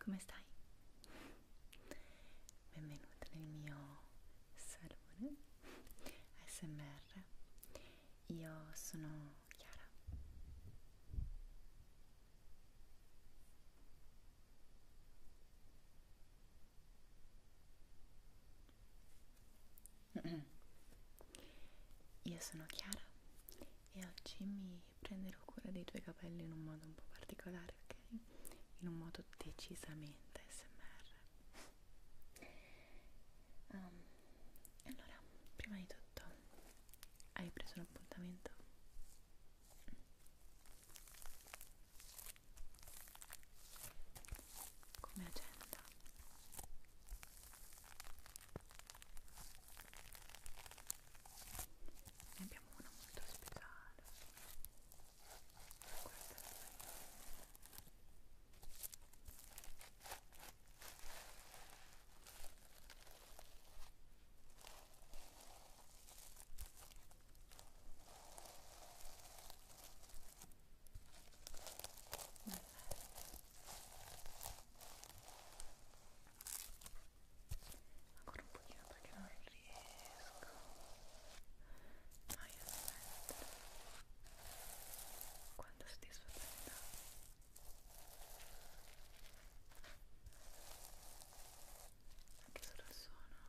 Come stai? Benvenuta nel mio salone SMR. Io sono Chiara. Io sono Chiara e oggi mi prenderò cura dei tuoi capelli in un modo un po' particolare, ok? In un modo decisamente smr. Um, allora, prima di tutto, hai preso l'appuntamento? come agenda ne abbiamo una molto speciale questa è ancora un pochino perché non riesco mai a smettere quanta soddisfazione anche solo il suono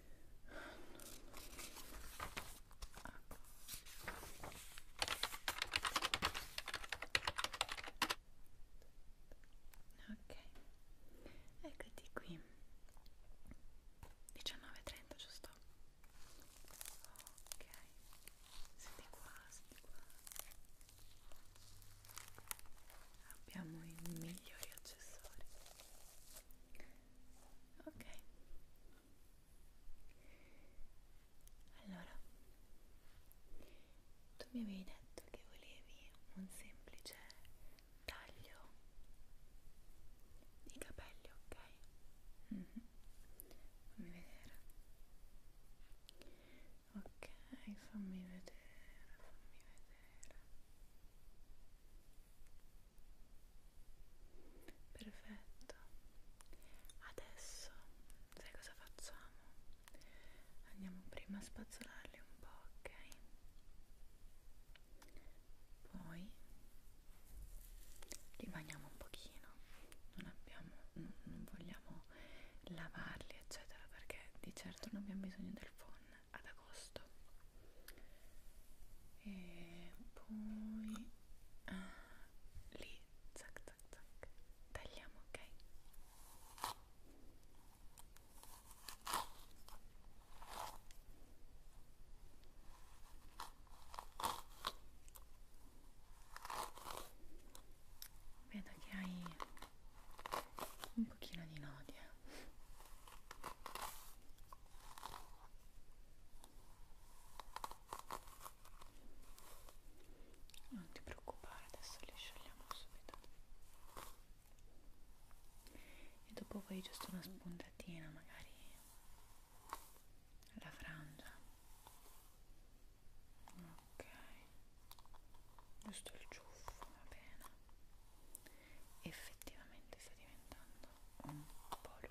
ok eccoti qui 19.30 giusto? ok senti qua senti qua abbiamo i migliori accessori ok allora tu mi avevi detto che volevi un semplice taglio di capelli ok mm -hmm. fammi vedere ok fammi vedere fammi vedere Perfetto. Adesso sai cosa facciamo? Andiamo prima a spazzolarli un po', ok? Poi li bagniamo un pochino. Non abbiamo non, non vogliamo lavarli, eccetera, perché di certo non abbiamo bisogno del phon ad agosto e poi ah, lì zac zac zac tagliamo ok vedo che hai un pochino di nodi eh. Non ti preoccupare, adesso li sciogliamo subito. E dopo poi giusto una spuntatina, magari la frangia. Ok. Giusto il ciuffo, va bene effettivamente sta diventando un po' lungo ok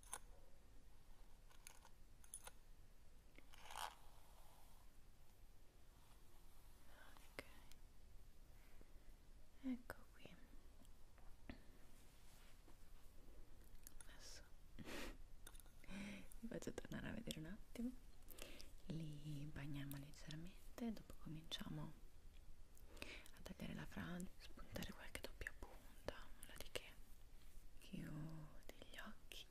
ok ecco qui adesso vi faccio tornare a vedere un attimo li bagniamo leggermente dopo cominciamo a tagliare la frangia spuntare qualche doppia punta nulla di che chiudi gli occhi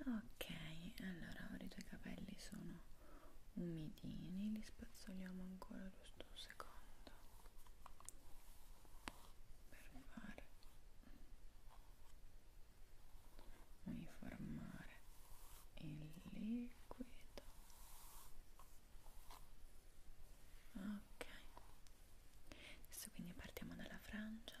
ok allora ora i tuoi capelli sono umidini li spazzoliamo ancora giusto un secondo per fare uniformare il liquido ok adesso quindi partiamo dalla frangia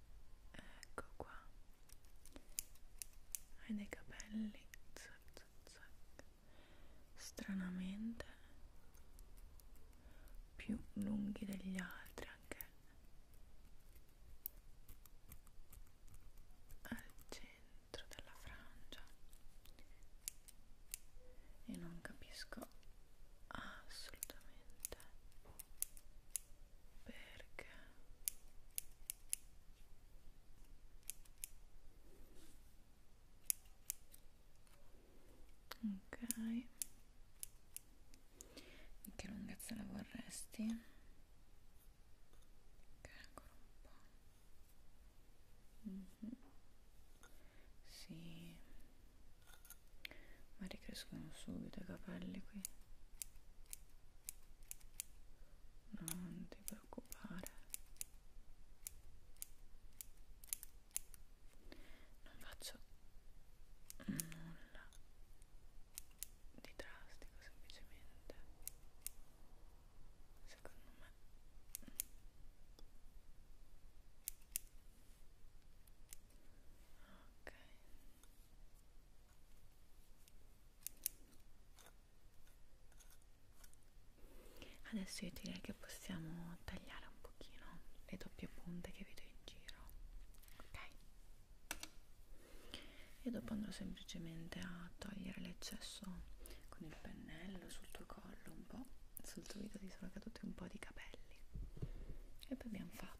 ecco qua hai dei capelli zac, zac, zac. stranamente più lunghi degli altri anche al centro della frangia e non capisco assolutamente perché ok di che lunghezza la vorresti? ok ancora un po' Mm -hmm. sì ma ricrescono subito i capelli qui non ti preoccupare non faccio nulla di drastico semplicemente secondo me Ok. Adesso io direi che possiamo tagliare un pochino le doppie punte che vedo in giro. Ok. E dopo andrò semplicemente a togliere l'eccesso con il pennello sul tuo collo un po', sul tuo dito ti sono caduti un po' di capelli. E poi abbiamo fatto.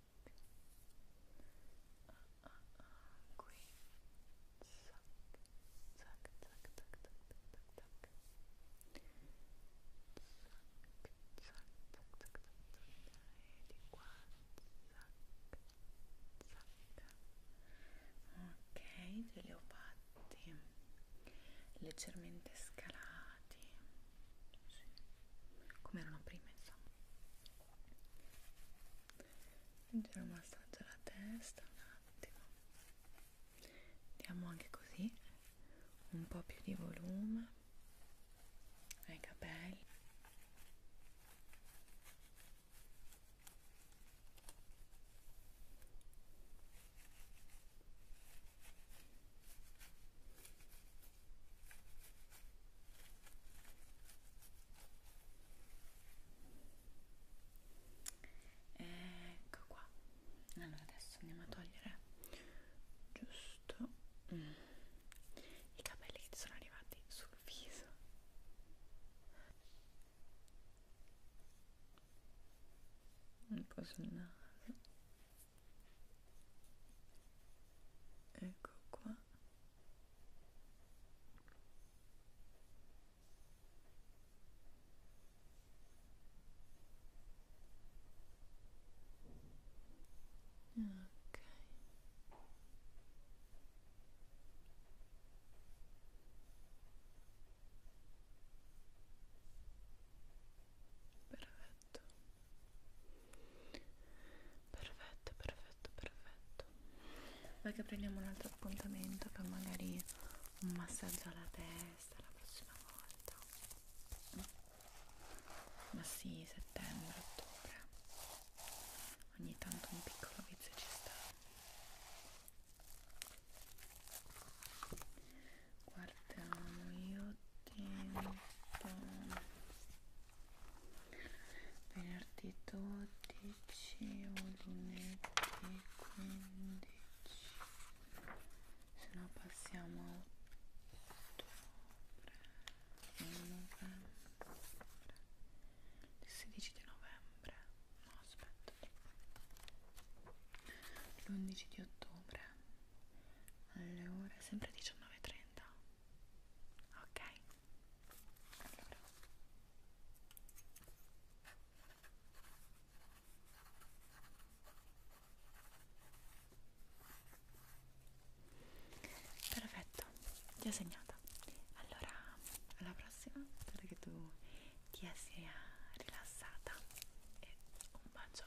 ah, ah, ah, qui zac, zac, zac, zac, zac, zac, zac zac, zac, zac, zac, e di qua zac, zac ok, ce li ho fatti leggermente scalati sì. come erano prima insomma leggero massaggio alla testa un attimo diamo anche così un po' più di volume ai capelli ecco qua allora adesso andiamo a togliere giusto mm. i capelli che ti sono arrivati sul viso un po' sul naso ecco qua ok perfetto perfetto perfetto perfetto vai che prendiamo un altro appuntamento per magari un massaggio alla testa la prossima volta ma sì settembre ottobre ogni tanto un piccolo vizio ci sta guardiamo io tempo venerdì 12 o lunedì 15 se no passiamo a ottobre novembre il 16 di novembre no aspetta l'11 di ottobre alle ore sempre 19.30 ok allora perfetto ti ho segnata allora alla prossima spero che tu ti sia rilassata e un bacio